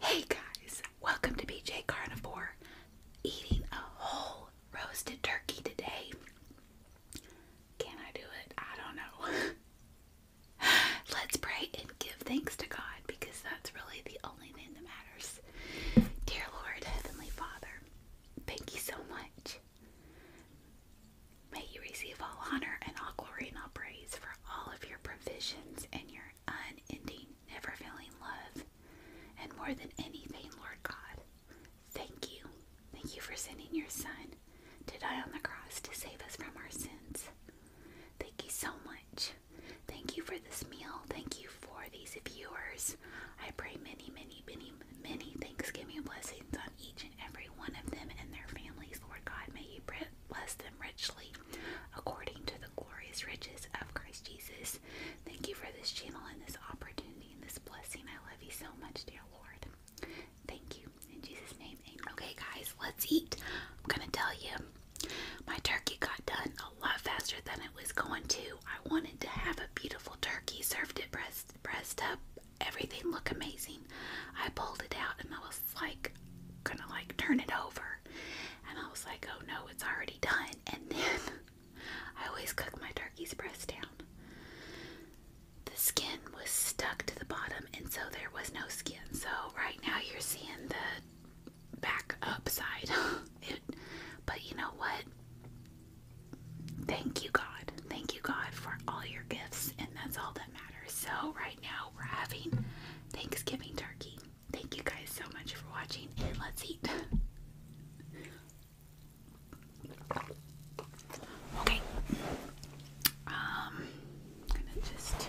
Hey guys, welcome to BJ Carnivore. Eating a whole roasted turkey today. Can I do it? I don't know. Let's pray and give thanks to God because that's really the only thing that matters. Dear Lord, Heavenly Father, thank you so much. May you receive all honor and all glory and all praise for all of your provisions and your unending, never failing love. And more than anything, Lord God, thank you. Thank you for sending your Son to die on the cross to save us from our sins. Thank you so much. Thank you for this meal. Thank you for these viewers. I pray many, many, many, many Thanksgiving blessings on each and every one of them and their families, Lord God. May you bless them richly according to the glorious riches of Christ Jesus. Thank you for this channel and this opportunity and this blessing. I love you so much, dear Lord. Thank you. In Jesus' name, Okay, guys, let's eat. I'm going to tell you, my turkey got done a lot faster than it was going to. I wanted to have a beautiful turkey, served it breast, breast up, everything look amazing. I pulled it out and I was like gonna like turn it over and I was like, oh no, it's already done. And then I always cook my turkey's breast down. The skin was stuck to the bottom and so there was no skin. So right now you're seeing the back upside. but you know what? Thank you God. Thank you God for all your gifts and that's all so right now we're having Thanksgiving turkey. Thank you guys so much for watching and let's eat. Okay. Um gonna just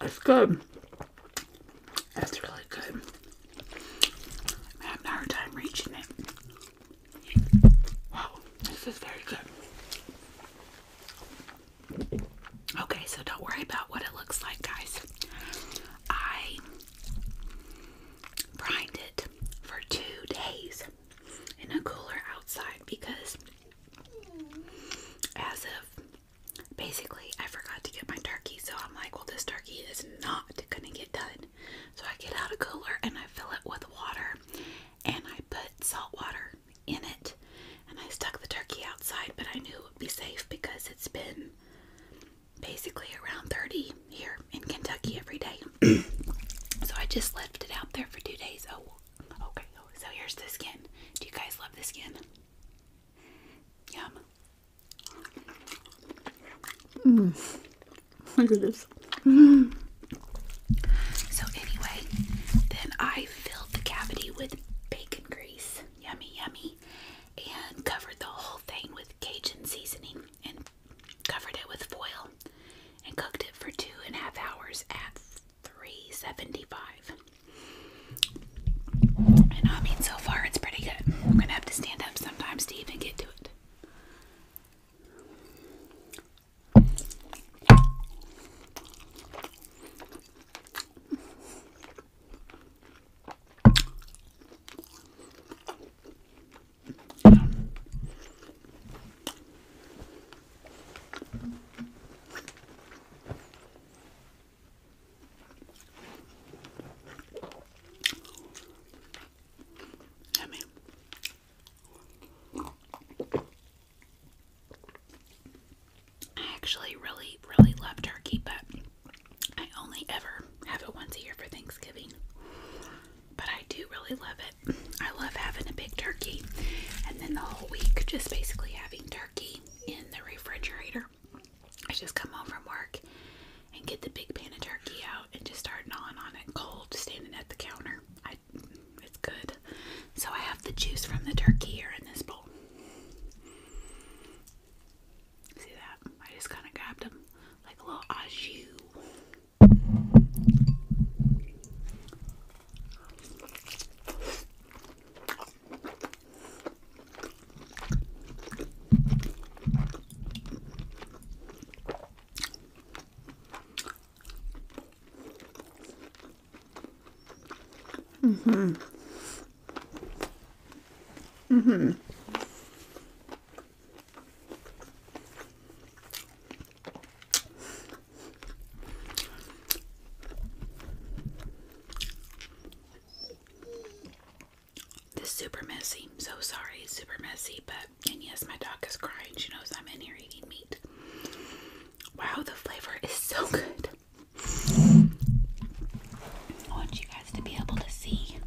That's good. That's really good. I'm having a hard time reaching it. Wow, this is very good. Okay, so don't worry about what it looks like, guys. I brined it for two days in a cooler outside because as of basically I forgot to get my turkey so I'm like well this turkey is not gonna get done so I get out a cooler and I fill it with water and I put salt water in it and I stuck the turkey outside but I knew it would be safe because it's been basically around 30 here in Kentucky every day. so I just left it out there for two days. Oh, okay. Oh, so here's the skin. Do you guys love the skin? Yum. Mm. Look at this. Mm. So anyway, then I filled the cavity with bacon grease. Yummy, yummy. And covered the whole thing with Cajun seasoning and covered it with foil, and cooked it for two and a half hours at 375. And I mean, so far it's pretty good. I'm gonna have to stand up sometimes to even get to it. I mean, I actually really, really love turkey, but I only ever have it once a year for Thanksgiving but I do really love it. I love having a big turkey and then the whole week just basically having turkey in the refrigerator. I just come home from work and get the big pan of turkey out and just start gnawing on it cold, standing at the counter. it's good. So I have the juice from the turkey here in this bowl. See that? I just kind of grabbed him like a little oshu. jus. Mm-hmm. mm this super messy. So sorry, super messy, but and yes, my dog is crying. She knows I'm in here eating meat. Wow, the flavor is so good. I want you guys to be able to see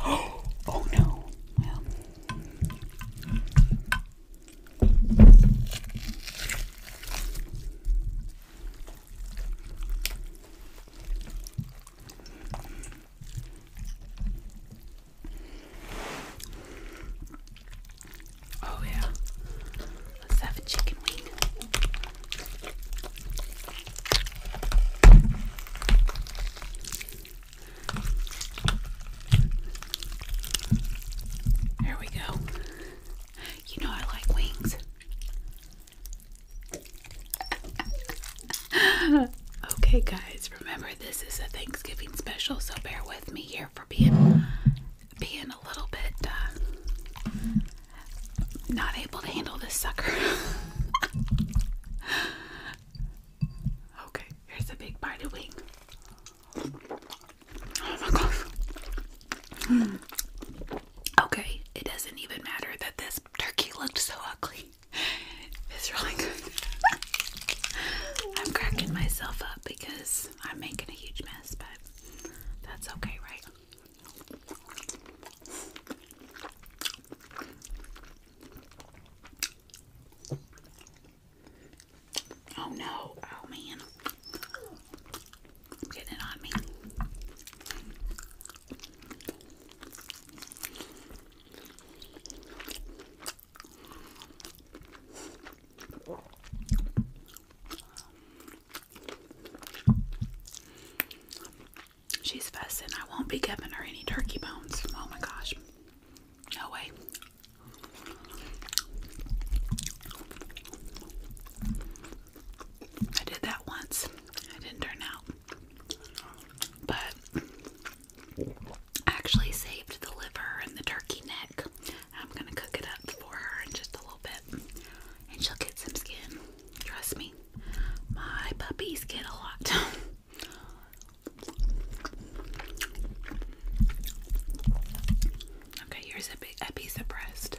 Oh, oh no. Oh, yeah. Let's have a chicken wing. There we go. You know I like wings. okay, guys, remember this is a Thanksgiving special, so bear with me here for being being a little bit uh, not able to handle this sucker. okay, here's a big bite of wing. Oh my gosh. Hmm. Okay, it doesn't even matter that this turkey looked so ugly. It's really good. I'm cracking myself up because I'm making a huge mess, but that's okay, right? Oh no, oh man. I'm getting it on me. She's fussing. I won't be giving her any turkey bones. Oh my gosh. No way. I did that once. It didn't turn out. But actually saved the liver and the turkey neck I'm gonna cook it up for her in just a little bit, and she'll get some skin. Trust me, my puppies get a lot. okay, here's a, big, a breast.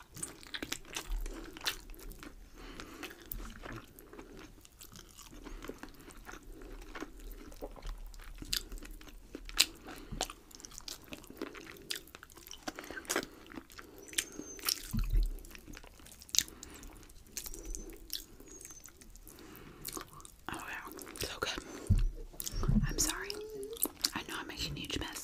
Oh wow, so good. I'm sorry. I know I'm making a huge mess.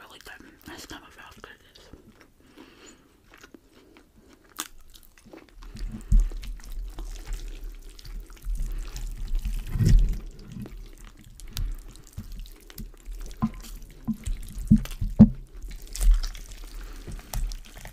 Really good. My stomach feels good at this.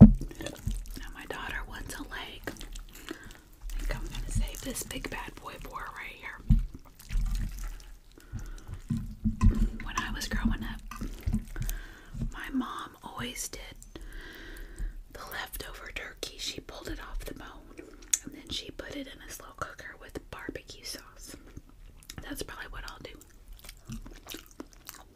Now my daughter wants a leg. I think I'm gonna save this big bad boy boy right here. When I was growing up, my mom always did the leftover turkey. She pulled it off the bone and then she put it in a slow cooker with barbecue sauce. That's probably what I'll do.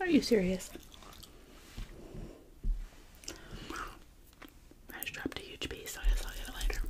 Are you serious? I just dropped a huge piece, I guess I'll get it later.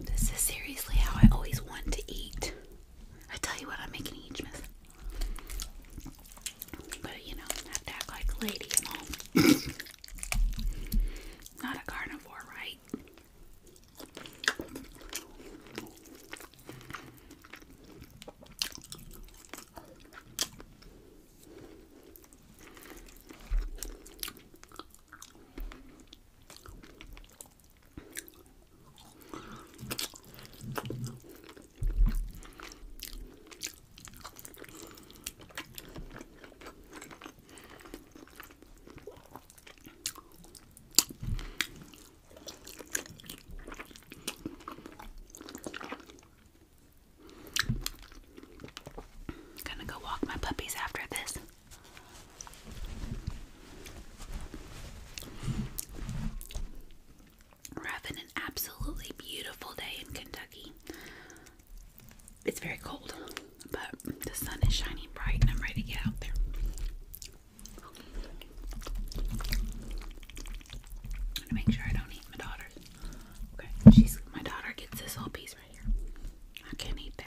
This is seriously how I always want to eat. I tell you what, I'm making each miss. But you know, have act like a lady and all. Not a carnivore, right? Gonna go walk my puppies after this. We're having an absolutely beautiful day in Kentucky. It's very cold, but the sun is shining bright and I'm ready to get out there. I'm gonna make sure I don't eat my daughter's. Okay, my daughter gets this whole piece right here. I can't eat that.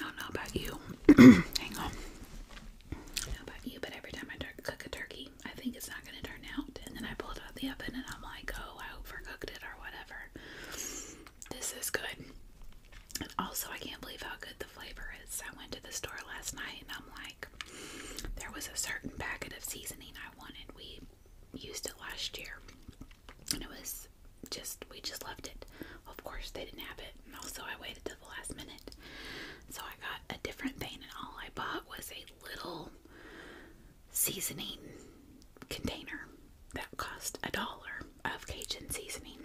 I don't know about you. Hang on. I don't know about you, but every time I cook a turkey, I think it's not going to turn out. And then I pull it out of the oven and I'm like, oh, I overcooked it or whatever. This is good. And also, I can't believe how good the flavor is. I went to the store last night and I'm like, there was a certain packet of seasoning I wanted. We used it last year and it was just, we just loved it. Of course, they didn't have it. And also, I waited till the last minute. So I got a different thing and all I bought was a little seasoning container that cost a dollar of Cajun seasoning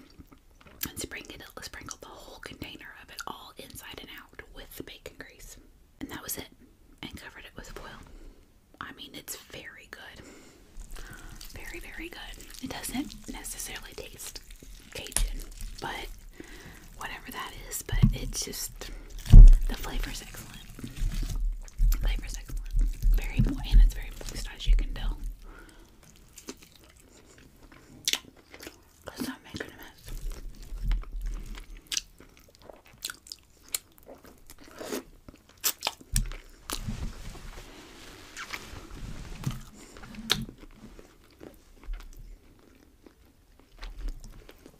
and sprinkled, sprinkled the whole container of it all inside and out with the bacon grease. And that was it. And covered it with foil. I mean, it's very good. Very, very good. It doesn't necessarily taste Cajun, but whatever that is, but it's just the flavor is excellent. Flavor's excellent. Very and it's very moist as you can tell. Cause I'm making a mess.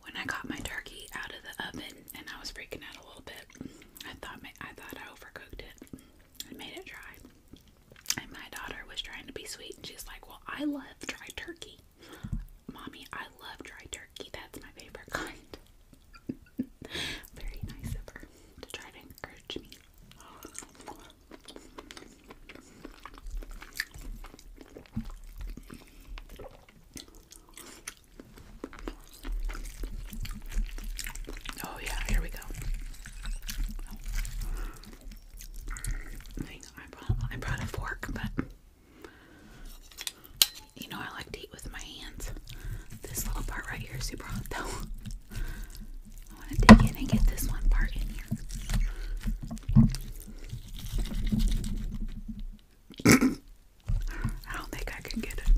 when I got my turkey out of the oven and I was freaking out a little bit, I thought I thought I overcooked it and made it dry. And my daughter was trying to be sweet and she's like, "Well, I love dry turkey, mommy. I love dry turkey. That's my favorite kind." Very nice of her to try to encourage me. Oh yeah, here we go. I brought a fork, but you know I like to eat with my hands. This little part right here is super hot though. I want to dig in and get this one part in here. I don't think I can get it.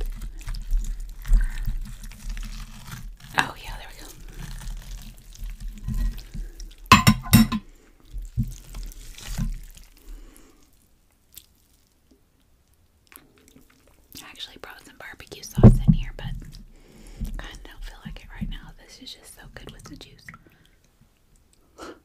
Oh, yeah, there we go. actually brought some barbecue sauce in here, but kind of don't feel like it right now. This is just so good with the juice.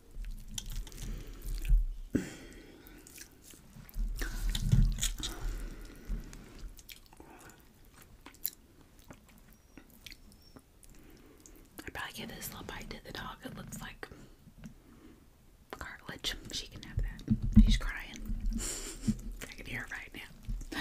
I probably give this little bite to the dog. It looks like cartilage. She can have that. She's crying. I can hear her right now.